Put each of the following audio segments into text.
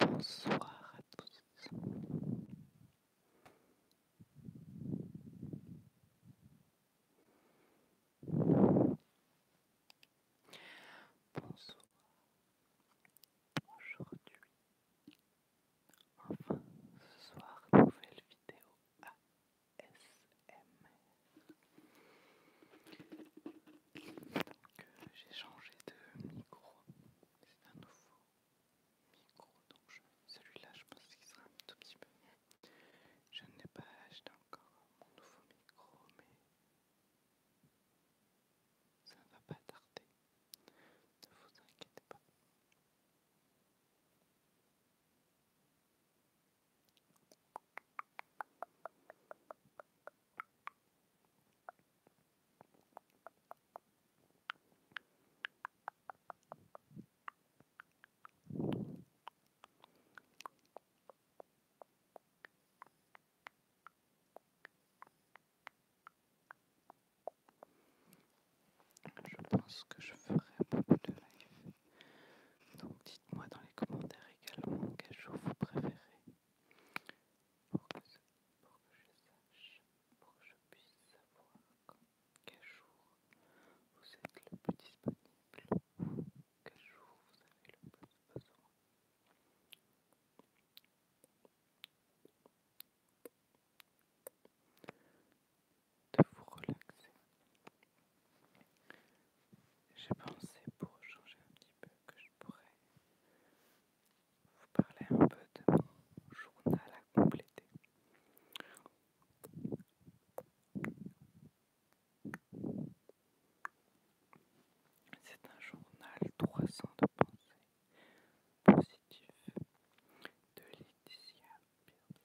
Bonsoir à tous. Bonsoir. Aujourd'hui, enfin ce soir, nouvelle vidéo ASMR j'ai changé de micro. C'est un nouveau micro. Donc celui-là, je pense qu'il sera un tout petit peu mieux. Je n'ai pas acheté encore mon nouveau micro, mais ça ne va pas tarder. Ne vous inquiétez pas. Je pense que je ferai beaucoup de live. Donc dites-moi dans les commentaires également quel jour vous préférez pour que, je sache, pour que je puisse savoir quel jour vous êtes le plus disponible, quel jour vous avez le plus besoin. De vous relaxer. J'ai pensé pour changer un petit peu que je pourrais vous parler un peu de mon journal à compléter. C'est un journal 300 de pensées positives de Laetitia Pierce.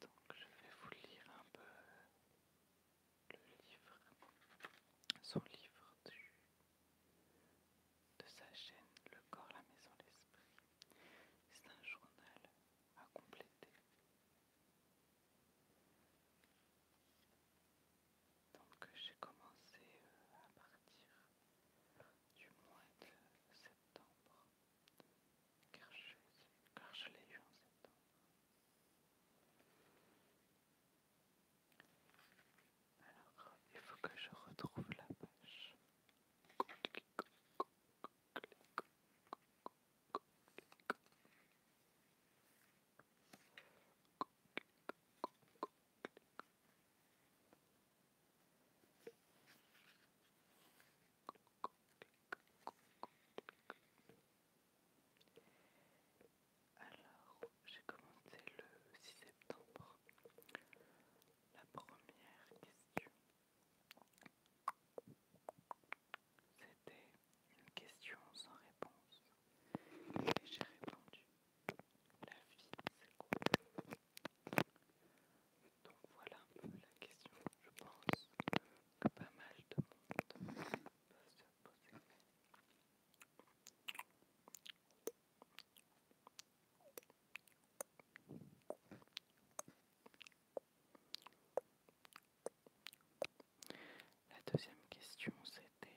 Donc je vais vous lire un peu le livre, son livre du, de sa chaîne Le corps, la maison, l'esprit. C'est un journal à compléter. Donc j'ai commencé euh, à partir du mois de septembre, car je, car je l'ai eu en septembre. Alors, il faut que je retrouve la page. Alors, j'ai commencé le 6 septembre. La première question, c'était une question sans réponse. Et j'ai répondu La vie, c'est quoi Donc voilà un peu la question, je pense, que pas mal de monde va se poser. La deuxième question c'était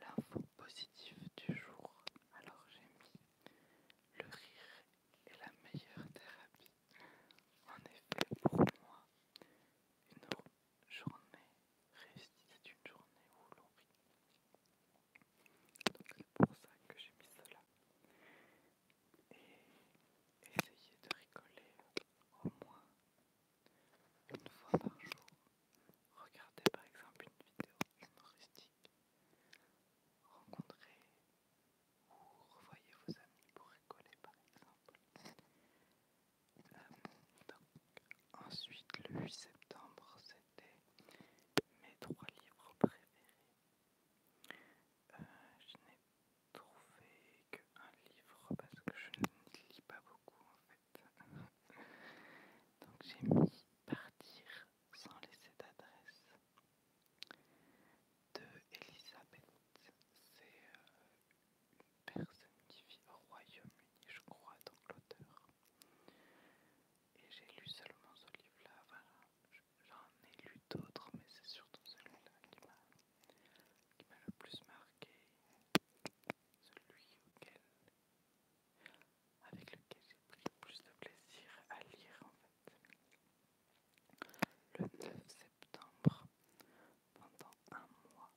L'info positive du jour, alors j'ai mis le rire est la meilleure thérapie. En effet, pour moi, une journée réussie, c'est une journée où l'on rit. Donc c'est pour ça que j'ai mis cela. Et essayer de rigoler au moins une fois par jour. Regardez par exemple une vidéo humoristique. Rencontrez ou revoyez vos amis pour rigoler par exemple. Euh, ensuite, le 8 septembre, c'était mes trois livres préférés. Euh, je n'ai trouvé qu'un livre parce que je ne lis pas beaucoup en donc j'ai mis partir sans laisser d'adresse de Elisabeth. C'est euh, une personne qui vit au Royaume-Uni, je crois, donc l'auteur. Et j'ai lu seulement ce livre-là, voilà. J'en ai lu d'autres, mais c'est surtout celui-là qui m'a le plus marqué celui auquel, avec lequel j'ai pris le plus de plaisir à lire en fait. Le 9 septembre, pendant un mois,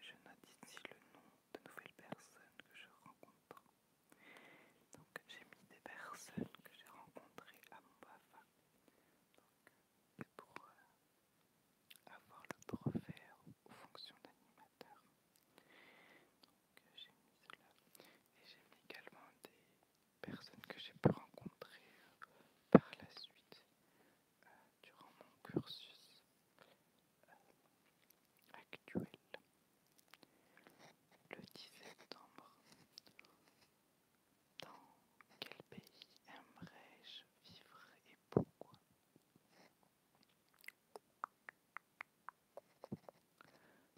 je note ici le nom de nouvelles personnes que je rencontre. Donc j'ai mis des personnes que j'ai rencontrées à mon BAFA. Donc pour avoir le brevet aux fonctions d'animateur. Donc euh, j'ai mis cela. Et j'ai mis également des personnes que j'ai pu rencontrer euh, par la suite euh, durant mon cursus actuel. Le 10 septembre, dans quel pays aimerais-je vivre et pourquoi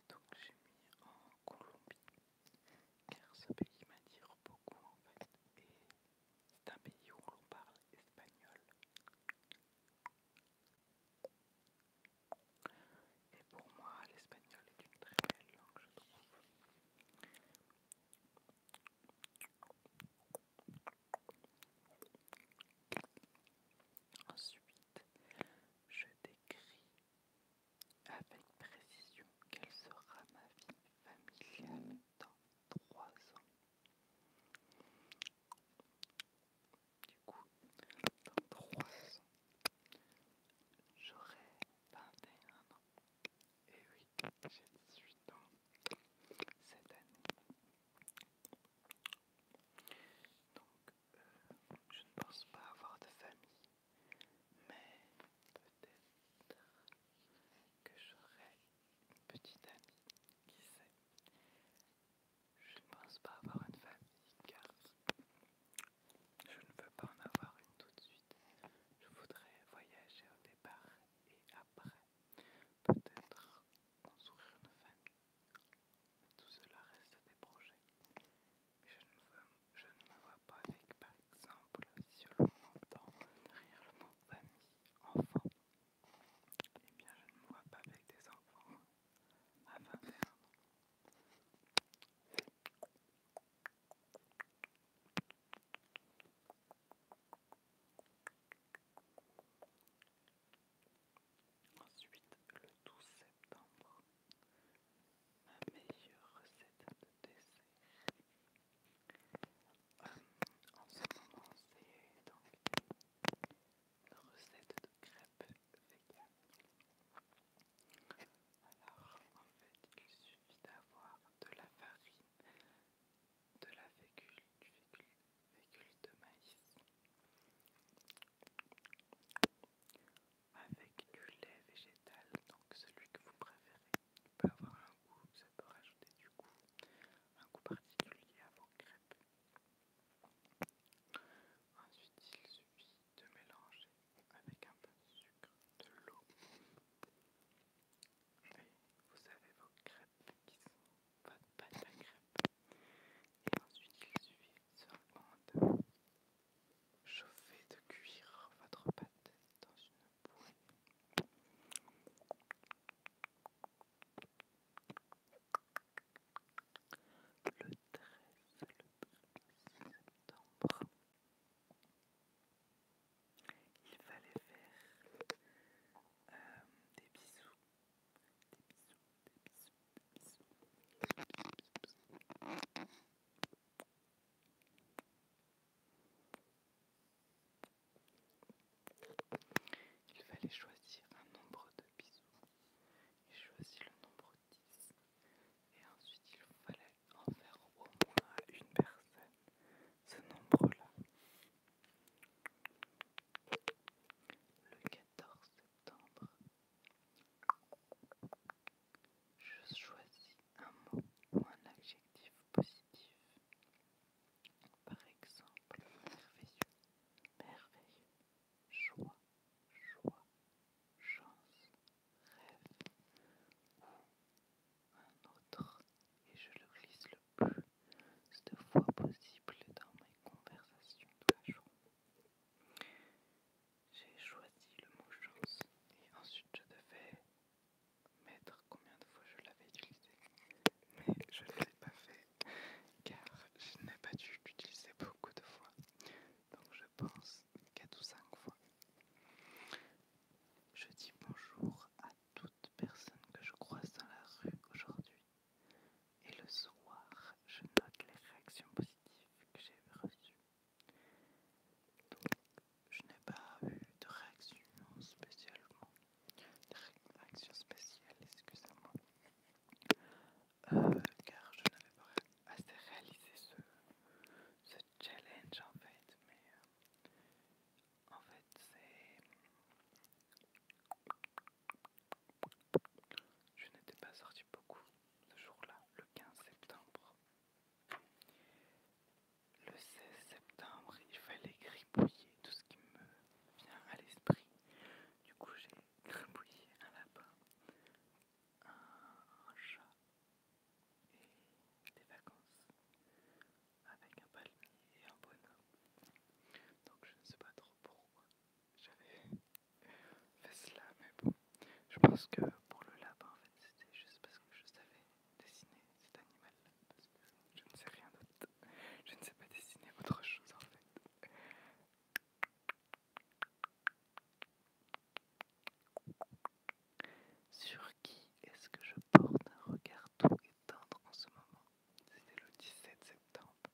donc j'ai mis en Colombie, car ce pays m'attire beaucoup en fait, et c'est un pays où l'on parle espagnol. Et pour moi, l'espagnol est une très belle langue, je trouve. Ensuite, je décris avec précision quelle sera ma vie familiale dans trois ans. Du coup, dans 3 ans, j'aurai 21 ans. Et oui, j'ai 18 ans cette année. Donc, je ne pense pas avoir de famille, mais peut-être que j'aurai une petite amie, qui sait. Je ne pense pas avoir une famille car je ne veux pas en avoir une tout de suite. Je voudrais voyager au départ et après Peut-être construire une famille. Mais tout cela reste des projets. Je ne, me vois pas avec, par exemple, si le entend derrière le monde famille, enfant. Eh bien, je ne me vois pas avec des enfants à 21 ans. Ensuite, le 12 septembre, ma meilleure recette de dessert. Euh, en ce moment, c'est donc une recette de crêpes veganes. Alors, en fait, il suffit d'avoir de la farine de la fécule, de maïs avec du lait végétal, donc celui que vous préférez. Il peut avoir un goût, ça peut rajouter du goût, un goût particulier à vos crêpes. Ensuite, il suffit de mélanger avec un peu de sucre, de l'eau vous avez vos crêpes qui sont votre pâte à crêpes. Et ensuite, il suffit sur de chauffer de cuire votre pâte dans une bouée. Le le 13 septembre, il fallait faire euh, des bisous. Des bisous, des bisous, des bisous. Il fallait choisir un nombre de bisous. Il choisit le nombre 10. Et ensuite il fallait en faire au moins une personne ce nombre-là. Le 14 septembre, je choisis un mot ou un adjectif positif. Par exemple, merveilleux, merveilleux, choix joie, chance, rêve ou un autre et je le glisse le plus de fois possible dans mes conversations de la journée. J'ai choisi le mot chance et ensuite je devais mettre combien de fois je l'avais utilisé. Mais je ne l'ai pas fait car je n'ai pas dû l'utiliser beaucoup de fois. Donc je pense 4 ou 5 fois. Je dis bonjour à toute personne que je croise dans la rue aujourd'hui. Et le soir, je note les réactions positives que j'ai reçues. Donc, je n'ai pas eu de réaction spécialement. De réaction spéciale, excusez-moi. Euh, car je n'avais pas assez réalisé ce, challenge en fait, euh, en fait, c'est. Je n'étais pas sorti beaucoup ce jour-là, le 15 septembre. Le 16 septembre, il fallait gribouiller tout ce qui me vient à l'esprit. Du coup, j'ai gribouillé un lapin, un chat, et des vacances avec un palmier et un bonhomme. Donc je ne sais pas trop pourquoi j'avais fait cela, mais bon, je pense que pour le lapin, en fait, c'était juste parce que je savais dessiner cet animal-là, parce que je ne sais rien d'autre. Je ne sais pas dessiner autre chose, en fait. Sur qui est-ce que je porte un regard tout tendre en ce moment C'était le 17 septembre.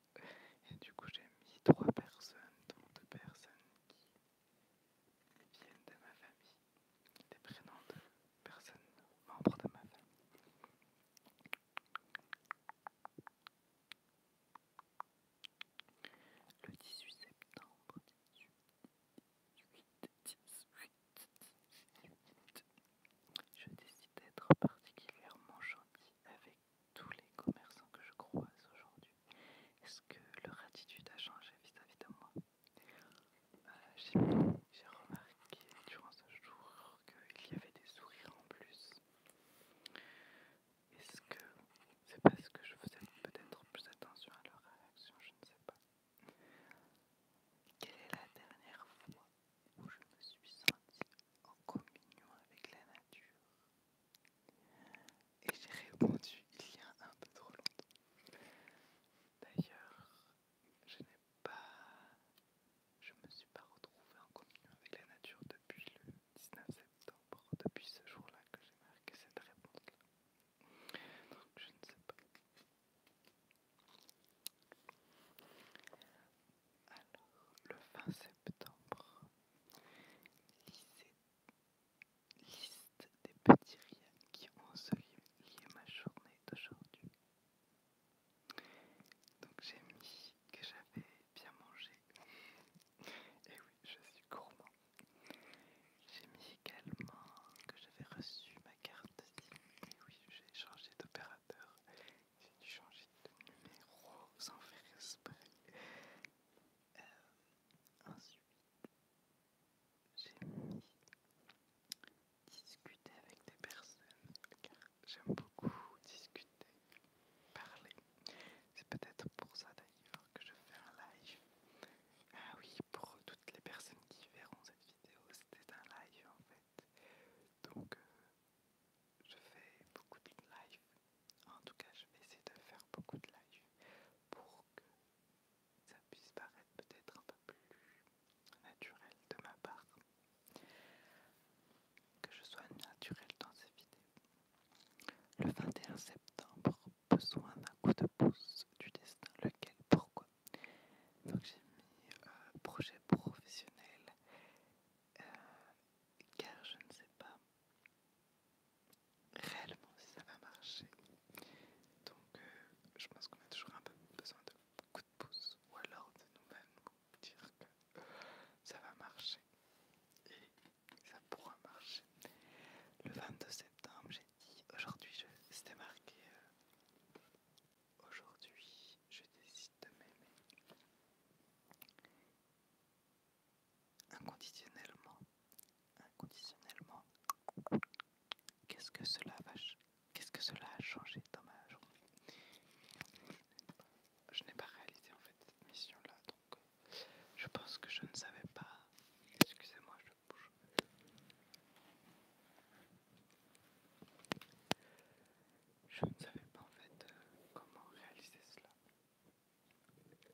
Et du coup, j'ai mis trois personnes, dont deux personnes qui viennent de ma famille, des prénoms de personnes membres de ma famille. Le 18 septembre, je décide d'être particulièrement gentille avec tous les commerçants que je croise aujourd'hui. Est-ce que leur attitude a changé vis-à-vis de moi euh, J'ai remarqué durant ce jour qu'il y avait des sourires en plus. Est-ce que c'est parce que je faisais peut-être plus attention à leur réaction Je ne sais pas. Quelle est la dernière fois où je me suis sentie en communion avec la nature Et j'ai répondu il y a un peu trop longtemps. D'ailleurs, je n'ai pas... Je me suis pas retrouvée en communion avec la nature depuis le 19 septembre, depuis ce jour-là que j'ai marqué cette réponse-là. Donc, je ne sais pas. Alors, le 20 septembre, liste des petits rien qui ont enseveli ma journée d'aujourd'hui. Donc, j'ai mis que j'avais bien mangé. Et oui, je suis gourmand. J'ai mis également que j'avais reçu ma carte SIM. Et oui, j'ai changé d'opérateur. J'ai dû changer de numéro sans faire esprit. Euh, ensuite, j'ai mis discuter avec des personnes car j'aime beaucoup discuter, parler. C'est peut-être pour ça d'ailleurs que je fais un live. Ah oui, pour toutes les personnes qui verront cette vidéo, c'était un live en fait. Donc euh, je fais beaucoup de live. En tout cas, je vais essayer de faire beaucoup de live pour que ça puisse paraître peut-être un peu plus naturel de ma part. Que je sois naturel dans ces vidéos. Le 21 septembre, besoin d'un coup de pouce du destin. Lequel Pourquoi Donc j'ai mis euh, projet professionnel euh, car je ne sais pas réellement si ça va marcher. Donc euh, je pense qu'on a toujours un peu besoin de coup de pouce ou alors de nous-mêmes dire que ça va marcher. Et ça pourra marcher. Le 22 septembre j'ai dit aujourd'hui, c'était marqué euh, aujourd'hui, je décide de m'aimer inconditionnellement. Inconditionnellement, qu'est-ce que cela va Qu'est-ce que cela a changé dans ma journée Je n'ai pas réalisé en fait cette mission là, donc euh, je pense que je ne savais pas. Excusez-moi, je ne savais pas en fait euh, comment réaliser cela.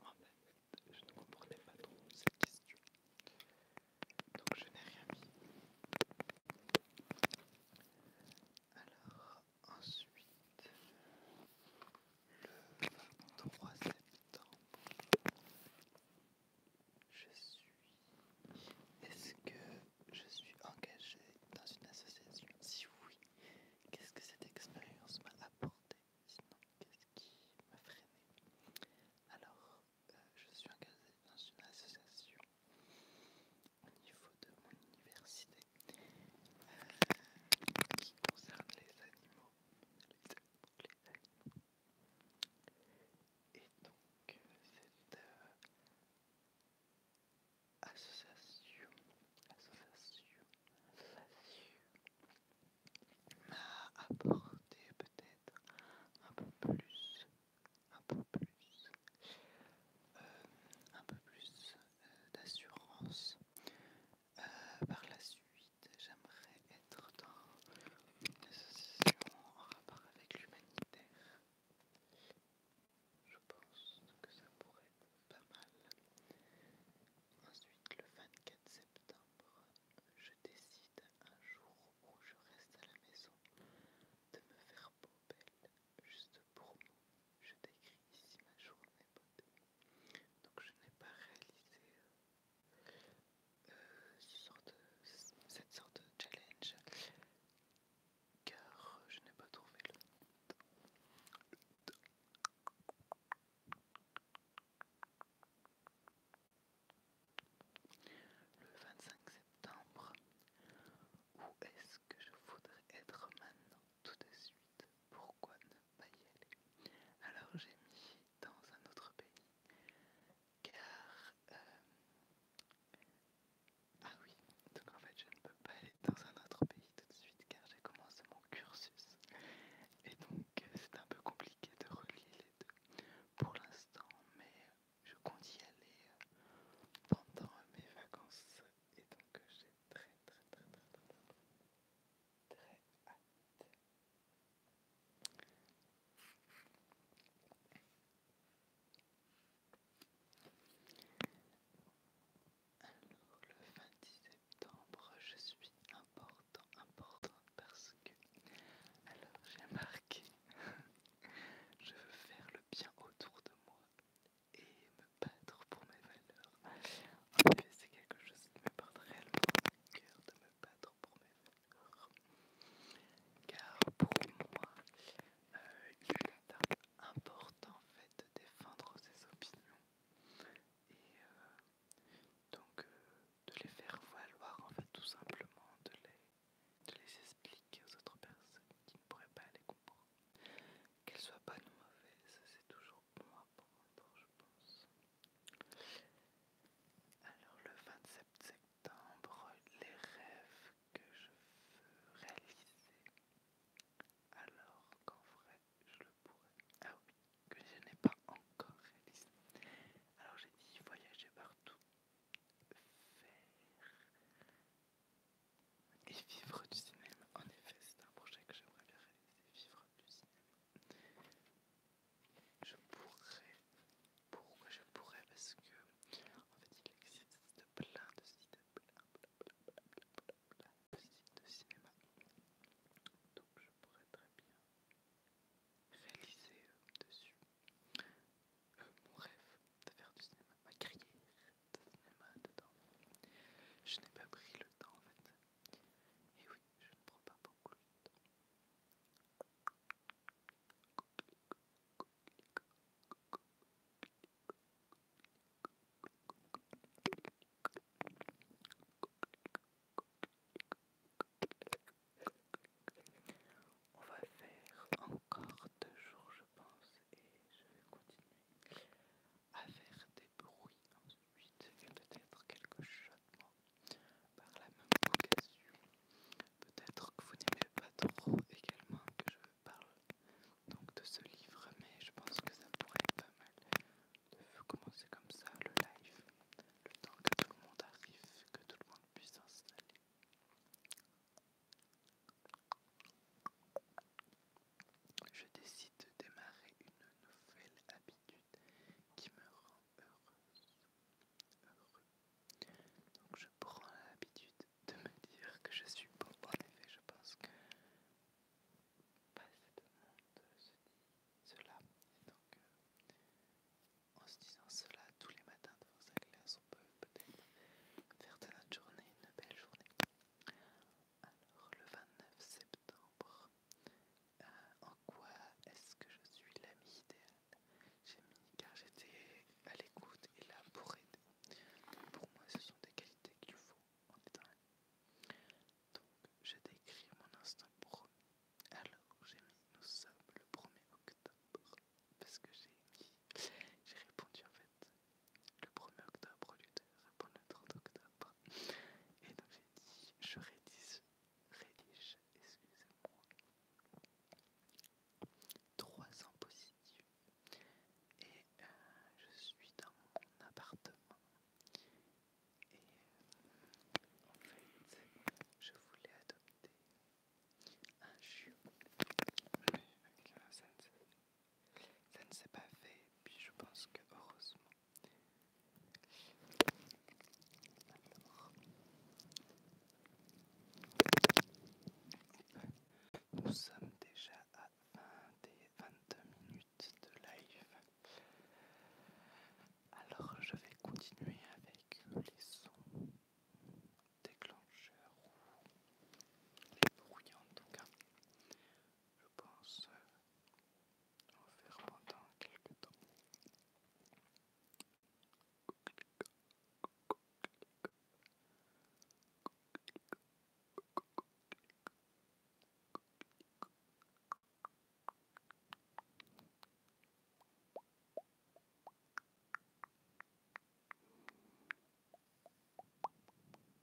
En fait, je ne comprenais pas trop cette question. Donc je n'ai rien mis. Alors ensuite, le 23 septembre. Je suis. Est-ce que je suis engagé dans une association Si oui, qu'est-ce que cette expérience m'a apporté Sinon, qu'est-ce qui m'a freiné Alors, euh, je suis engagé dans une association au niveau de mon université euh, qui concerne les animaux, et donc, cette euh, association, association, association m'a apporté peut-être un peu plus, un peu plus, euh, un peu plus euh, d'assurance euh, par la suite, j'aimerais être dans une association en rapport avec l'humanitaire. Je pense que ça pourrait être pas mal. Ensuite, le 24 septembre, je décide un jour où je reste à la maison de me faire beau belle juste pour moi. Je décris ici ma journée beauté. Donc je n'ai pas réalisé euh, euh, cette sorte de challenge car je n'ai pas trouvé le temps. Le 25 septembre, où est-ce que je voudrais être maintenant tout de suite Pourquoi ne alors j'ai mis dans un autre pays, car... Euh, ah oui, donc en fait je ne peux pas aller dans un autre pays tout de suite car j'ai commencé mon cursus. Et donc euh, c'est un peu compliqué de relier les deux pour l'instant, mais je compte y aller euh, pendant mes vacances. Et donc j'ai très très très très très hâte alors, le 20 septembre, je suis important, important parce que. Alors, j'ai marqué. je veux faire le bien autour de moi et me battre pour mes valeurs. En effet, c'est quelque chose qui me porte réellement le cœur de me battre pour mes valeurs. Car pour moi, euh, il est important en fait de défendre ses opinions et euh, donc euh, de les faire valoir en fait tout simplement, de les, expliquer aux autres personnes qui ne pourraient pas les comprendre. Qu'elles soient bonnes ou mauvaises, c'est toujours bon pour prendre, je pense. Alors le 27 septembre, les rêves que je veux réaliser, alors qu'en vrai je le pourrais, ah oui, que je n'ai pas encore réalisé. Alors j'ai dit voyager partout, faire et vivre du cinéma. En effet, c'est un projet que j'aimerais réaliser, vivre du cinéma. Je pourrais. Pourquoi je pourrais Parce que, en fait, il existe plein de sites, de sites de cinéma. Donc, je pourrais très bien réaliser euh, dessus euh, mon rêve de faire du cinéma, ma carrière de cinéma dedans. Je n'ai pas pris le temps en fait oui, je ne prends pas beaucoup On va faire encore deux jours je pense et je vais continuer à faire des bruits et peut-être quelques chuchotements par la même vocation. Peut-être que vous n'aimez pas trop également que je parle de ce livre, mais je pense que ça pourrait être pas mal de commencer comme ça le live, le temps que tout le monde arrive, que tout le monde puisse s'installer. Je décide de démarrer une nouvelle habitude qui me rend heureuse. Donc je prends l'habitude de me dire que je suis beau. En effet, je pense que pas assez de cela. Et donc, euh, en se disant cela tous les matins devant sa classe, on peut peut-être faire de notre journée une belle journée. Alors, le 29 septembre, euh, en quoi est-ce que je suis l'ami idéal J'ai mis car j'étais à l'écoute et là pour aider. Pour moi, ce sont des qualités qu'il faut en étant Donc, j'ai décris mon instant pour. Alors, j'ai mis nous sommes le 1er octobre parce que j'ai j'ai répondu en fait le 1er octobre au lieu de répondre le 30 octobre. Et donc j'ai dit, je rédige, excusez-moi, trois ans positifs. Et euh, je suis dans mon appartement. Et en fait, je voulais adopter un chiot. avec un ça ne s'est pas fait, puis je pense que heureusement. Nous sommes déjà à fin des 22 minutes de live. Alors je vais continuer avec les sons déclencheurs ou les bruits en tout cas pense euh, en faire pendant quelques temps.